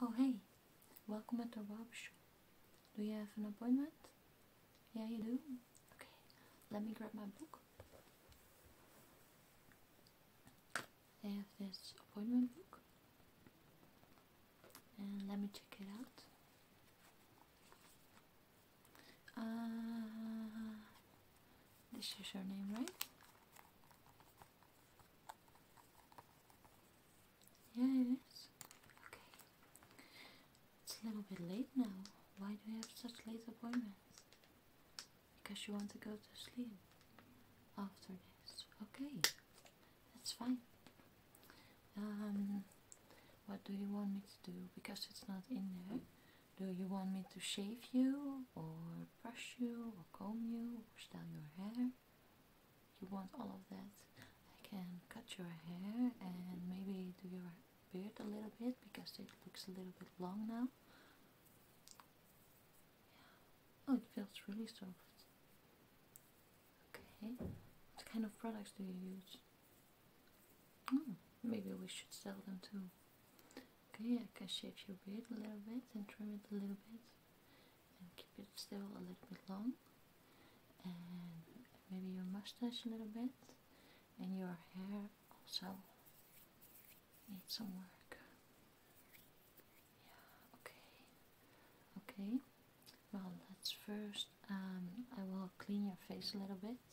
Oh hey, welcome at the Rob Show. Do you have an appointment? Yeah, you do? Okay, let me grab my book. I have this appointment book. let me check it out. Uh, this is your name, right? Yeah, it is. Okay. It's a little bit late now. Why do you have such late appointments? Because you want to go to sleep after this. Okay, that's fine. Um, what do you want me to do? Because it's not in there. Do you want me to shave you, or brush you, or comb you, or style your hair? you want all of that I can cut your hair and maybe do your beard a little bit because it looks a little bit long now oh it feels really soft okay what kind of products do you use hmm, maybe we should sell them too okay I can shape your beard a little bit and trim it a little bit and keep it still a little bit long and maybe your mustache a little bit and your hair also needs some work yeah okay okay well let's first um, I will clean your face a little bit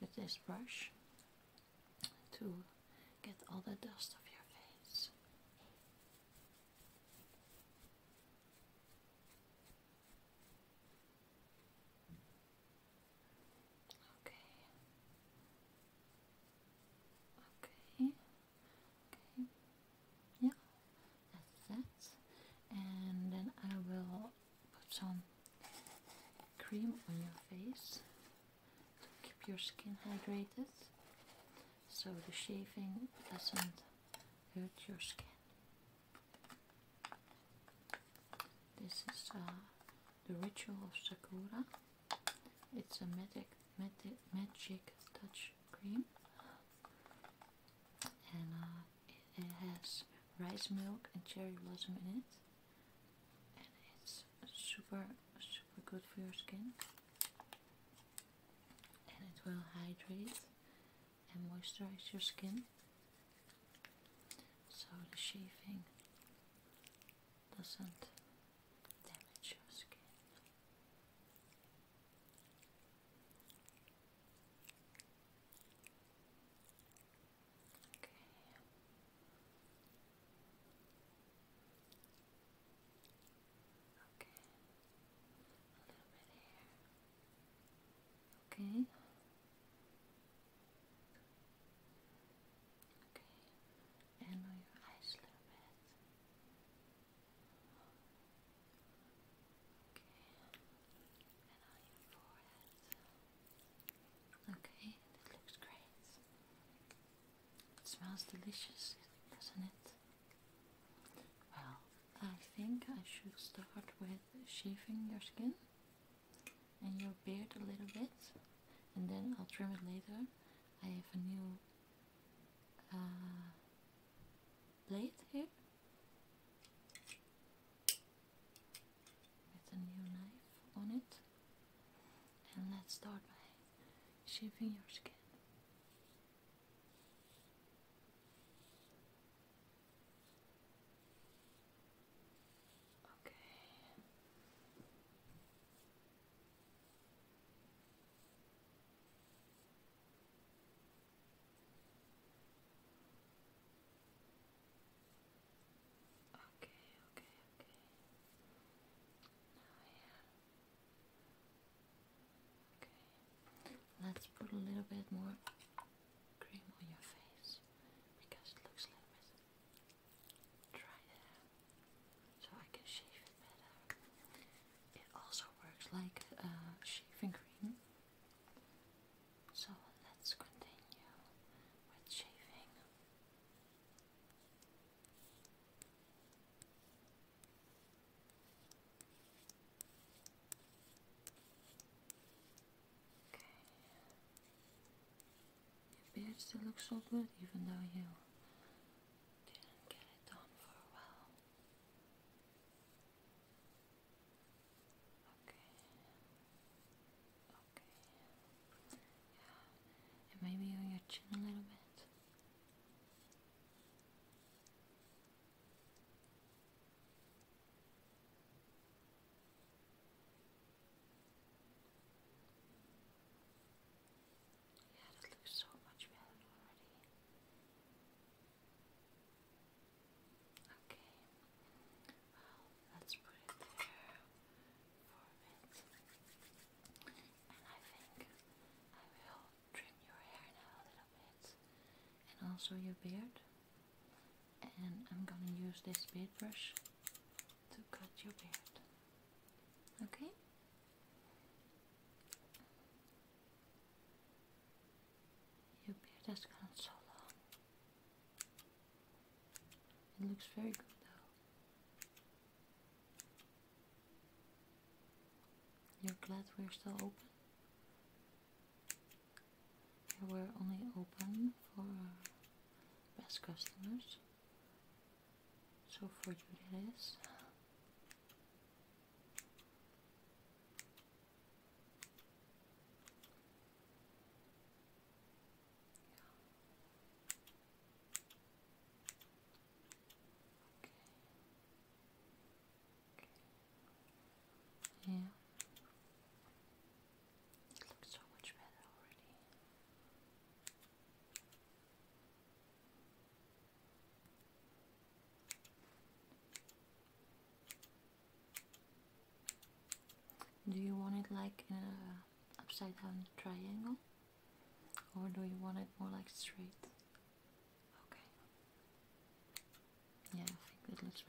with this brush to get all the dust off your face Okay. Okay. Okay. Yeah, that's that. And then I will put some cream on your face to keep your skin hydrated so the shaving doesn't hurt your skin. This is uh, the Ritual of Sakura. It's a magic, magic, magic touch cream. And it, uh, it has rice milk and cherry blossom in it. And it's super, super good for your skin and it will hydrate and moisturize your skin so the shaving doesn't damage your skin. Okay. A little bit here. Okay. Okay. And on your eyes a little bit. Okay. And on your forehead. Okay, that looks great. It smells delicious, doesn't it? Well, I think I should start with shaving your skin and your beard a little bit and then I'll trim it later. I have a new uh, blade here with a new knife on it and let's start by shaving your skin. Okay. Okay, okay, okay. Now let's put a little bit more cream on your face because it looks a little bit dry so I can shave it better. It also works like shaving cream. So let's continue with shaving. Your beard still looks so good even though you didn't get it done for a while. Okay. Okay. Yeah. And maybe on your chin a little bit. Yeah, that looks so much better already. Okay, well, let's put it there for a bit. And I think I will trim your hair now a little bit and also your beard. And I'm gonna use this beard brush to cut your beard. Okay? Your beard has gone so long. It looks very good though. You're glad we're still open? we're only open for best customers. So for you that is. Yeah. It looks so much better already. Do you want it like in uh, a upside down triangle? Or do you want it more like straight? Okay. Yeah, I think that looks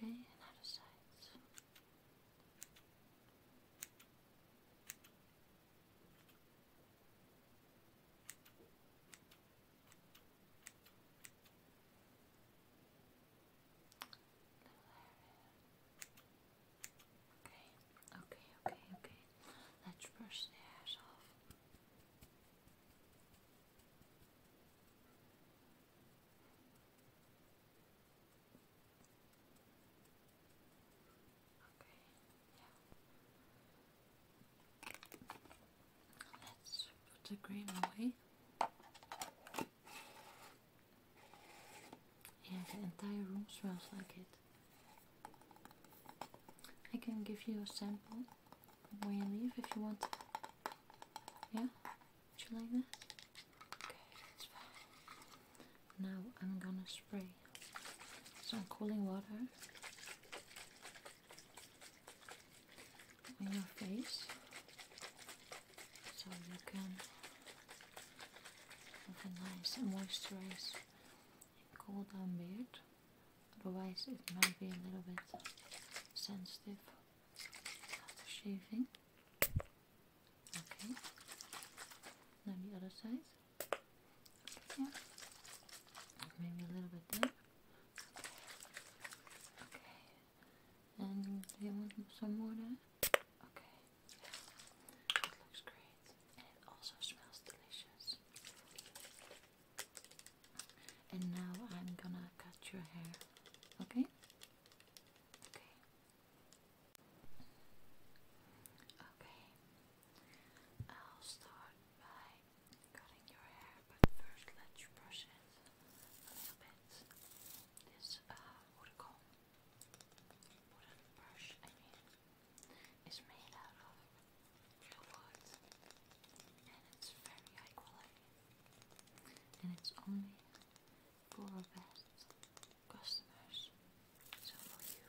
Okay, another side. Okay. Okay, okay, okay, okay. Let's brush the hairs off. Okay, yeah. Let's put the cream away. Yeah, the entire room smells like it. I can give you a sample when you leave if you want. Yeah? Would you like that? Okay, that's fine. Now I'm gonna spray some cooling water on your face so you can have a nice moisturized cool down beard otherwise it might be a little bit sensitive shaving okay then the other side yeah maybe a little bit there okay and some more Okay. It looks great and it also smells delicious. And now I'm gonna cut your hair, okay? Okay. Okay. I'll start by cutting your hair, but first let's brush it a little bit. This uh, wood comb wooden brush, I mean, is made out of real wood and it's very high quality and it's only for our best customers, so for you.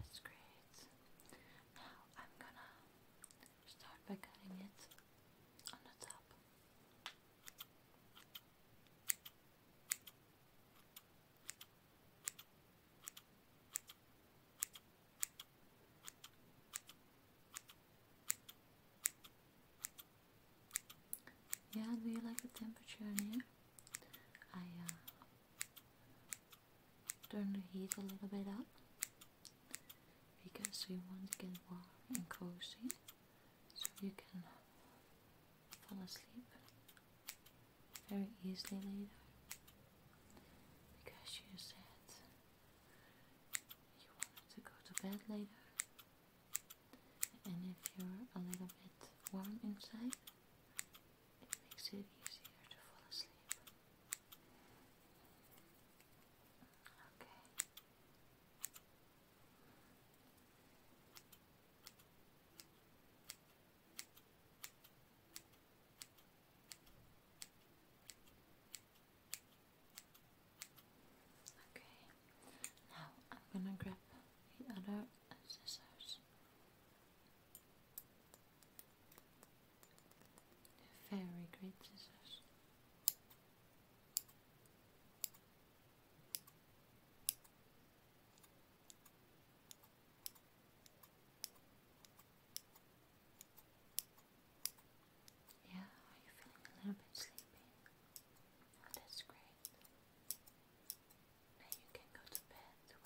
That's great. Now I'm gonna start by cutting it on the top. Yeah, do you like the temperature here? I uh, turn the heat a little bit up because we want to get warm and cozy so you can fall asleep very easily later because you said you wanted to go to bed later and if you're a little bit warm inside it makes it easier to fall asleep. Okay. Okay, now I'm gonna grab the other scissors. Very great scissors. Yeah, are you feeling a little bit sleepy? Oh, that's great. Now you can go to bed with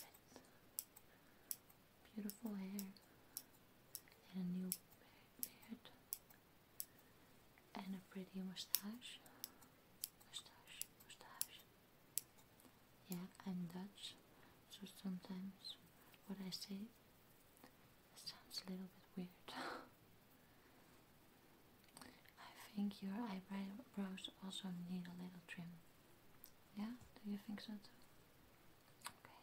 beautiful hair and a new beard and a pretty mustache. Mustache, mustache. Yeah, I'm Dutch, so sometimes what I say sounds a little bit weird. I think your eyebrows also need a little trim. Yeah? Do you think so too? Okay.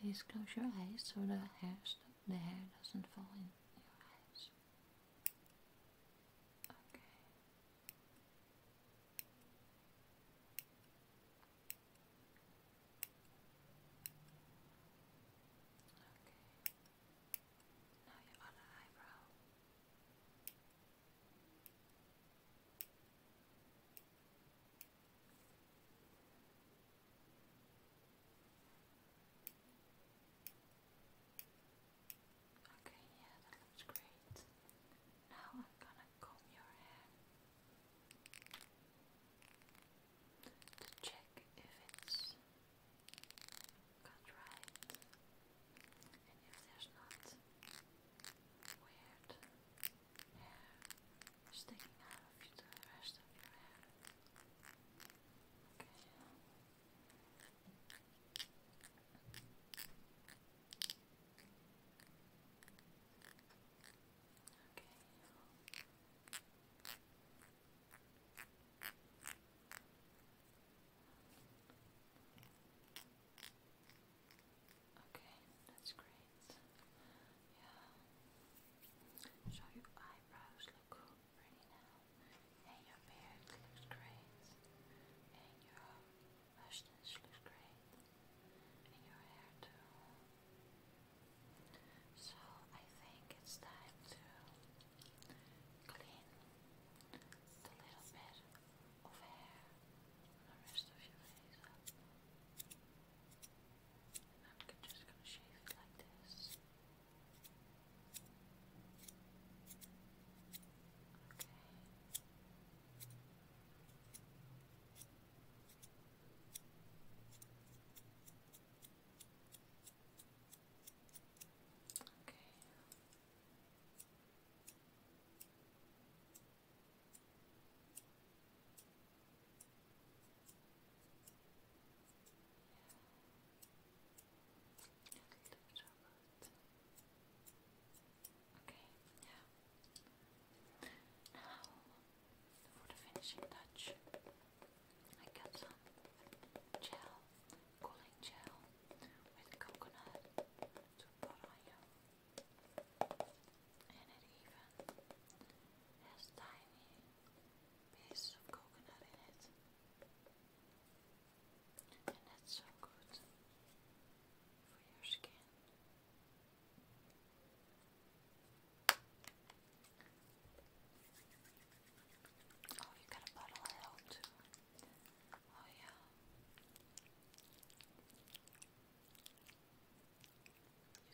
Please close your eyes so the hair, the hair doesn't fall in your eyes. Okay. Okay. Now your other eyebrow. Okay, yeah, that looks great. Now I'm gonna comb your hair to check if it's contrived, and if there's not weird hair sticking out you to the rest of Okay. Okay. Okay, that's great. Yeah. So your eyebrows look pretty now. And your beard looks great. And your mustache looks great. And your hair too. So I think it's time to clean the little bit of hair on the rest of your face. And I'm just going to shave it like this. Okay. Okay, yeah. Now for the finishing touch, I got some gel, cooling gel with coconut to Boraya. And it even has tiny pieces of coconut in it. And that's so good for your skin. Oh, you got a bottle of help too. Oh, yeah. You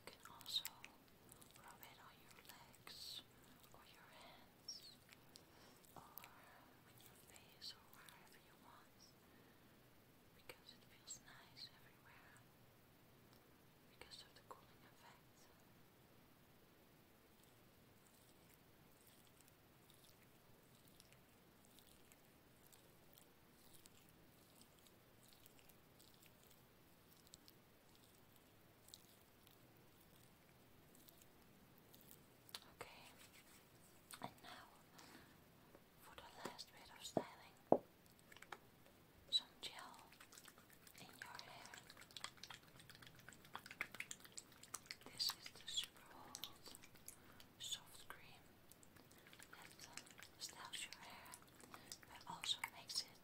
can also rub it on your legs or your hands or your face or wherever you want because it feels nice everywhere because of the cooling effect. Okay, and now for the last bit of styling, some gel in your hair. This is the super hold soft cream that um, styles your hair but also makes it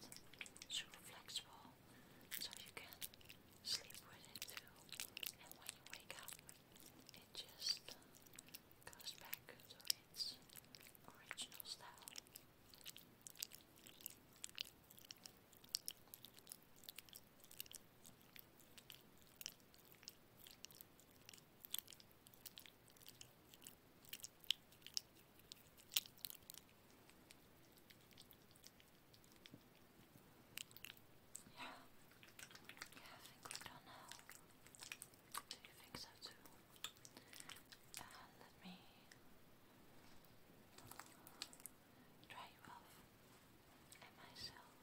super flexible so you can sleep with it too and when you wake up it just uh, goes back to its original style. Yeah. Yeah, I think we've done now. Do you think so too? Uh, let me dry you off and myself.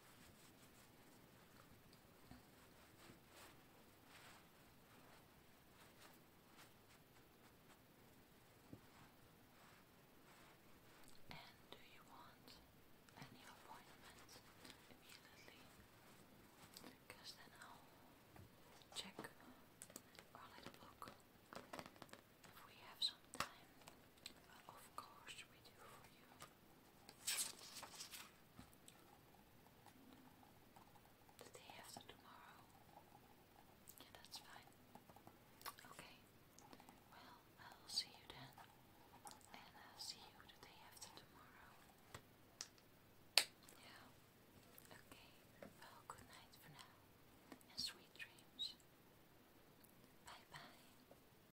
And do you want any appointments immediately? Because then I'll check our little if we have some time. Of course, we do for you. The after tomorrow. Yeah, that's fine. Okay. Well, I'll see you then. And I'll see you the after tomorrow. Yeah. Okay. Well, good night for now. And sweet dreams. Bye bye.